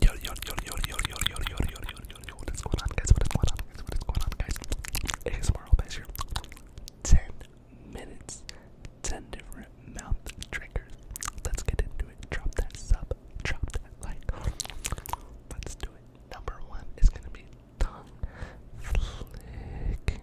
Yo, yo, yo, yo, yo, yo, yo, yo, yo, yo, yo, yo, what is going on, guys? What is going on, guys? What is going on, guys? ASMR all here. 10 minutes, 10 different mouth triggers. Let's get into it. Drop that sub, drop that like. Let's do it. Number one is gonna be tongue flicking.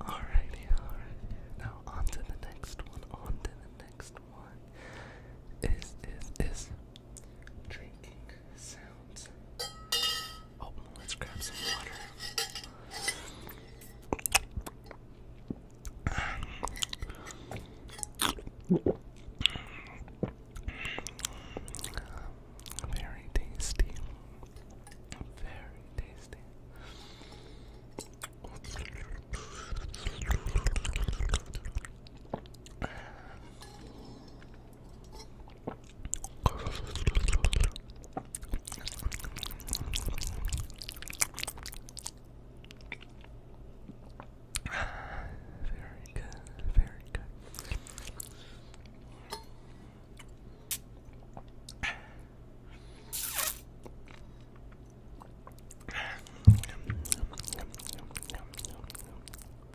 Alrighty, alrighty. Now on to the next one. On to the next one. Is is is drinking sounds. Oh, let's grab some water. Very tasty. Very tasty. Very good,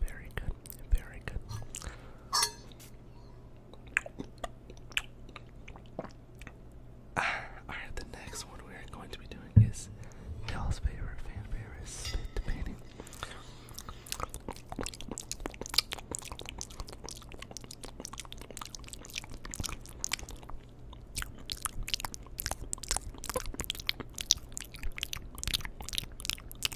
very good. Very good, very good. Alright, the next one we are going to be doing is Dell's favorite, fan favorite, spit painting.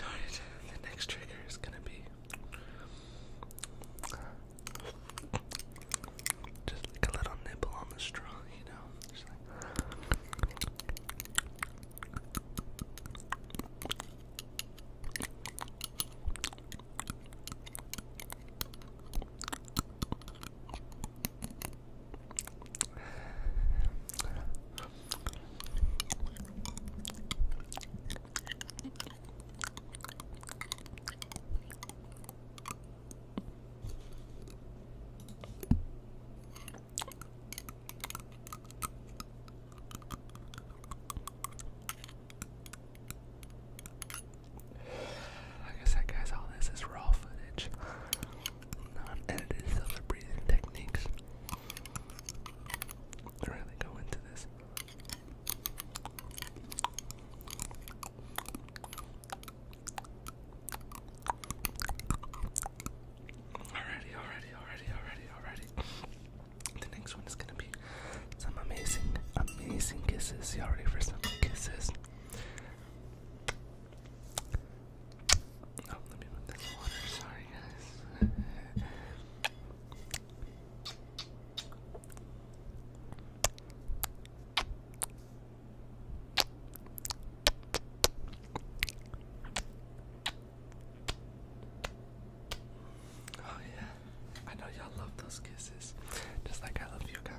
Alright, the next trigger is gonna be just like a little nibble on the straw, you know? I guess guys all this is raw footage. Non-edited self breathing techniques really go into this. Already, already, already, already, already. The next one is gonna be some amazing, amazing kisses. Y'all ready for some kisses? Oh, let me move this water. Sorry, oh, yeah. I know y'all love those kisses, just like I love you guys.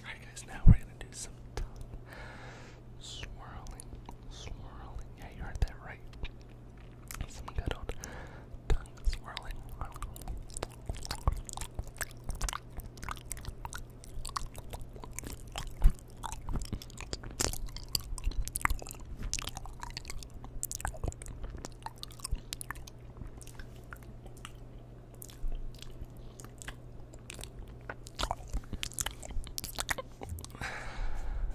Alright guys, now we're gonna do some swirling, swirling. Yeah, you heard that right. Some good old tongue swirling.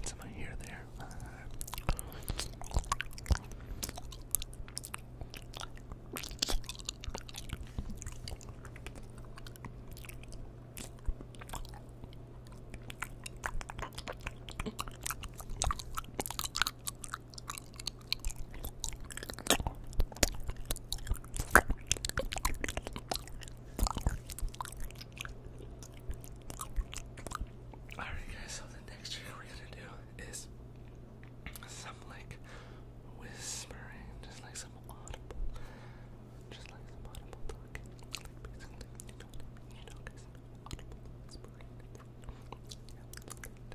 It's in my ear there. Alright guys, so the next trick we're gonna do is some like whispering, just like some audible, just like some audible talking, you know you know guys, audible whispering, yeah,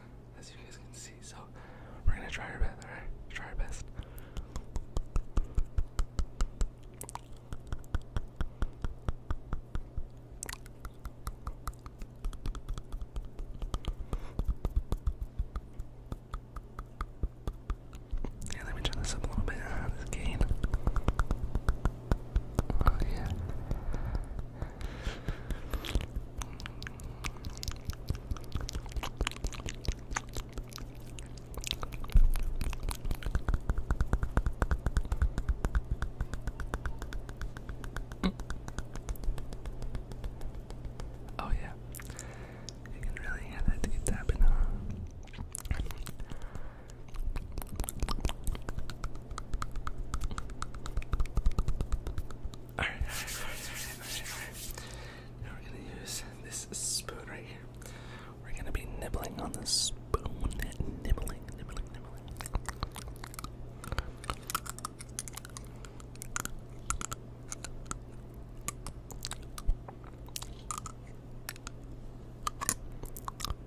as you guys can see. So we're gonna try our best, alright? Try our best. Yeah, let me turn this up a little bit on ah, this gain. Oh yeah. Oh, yeah, you can really hear that teeth tapping, huh? Alright, alright, alright, alright, Now we're gonna use this spoon right here. We're gonna be nibbling on this spoon. Nibbling, nibbling, nibbling.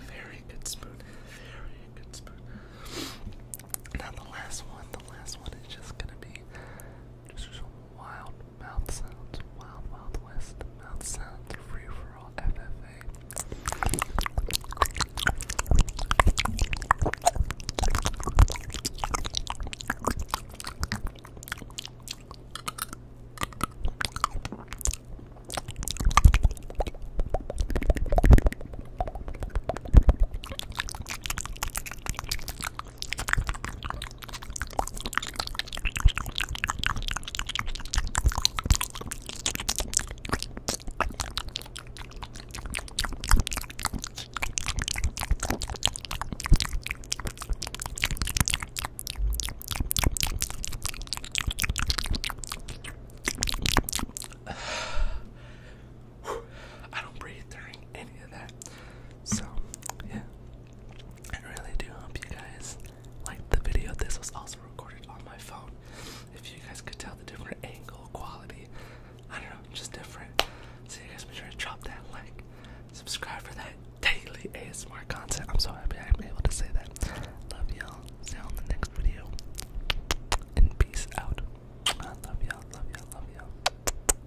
Very good spoon. Very good spoon. Now the last one, the last one is just gonna be just wild Mouth sound, wild, wild west. Mouth sounds, free for all FFA. I don't breathe during any of that. So, yeah. I really do hope you guys liked the video. This was also recorded on my phone. If you guys could tell the different angle quality, I don't know, just different. So you guys make sure to drop that like, subscribe for that daily ASMR content. I'm so happy I'm able to say that. Love y'all. See you in the next video. And peace out. I love y'all, love y'all, love y'all.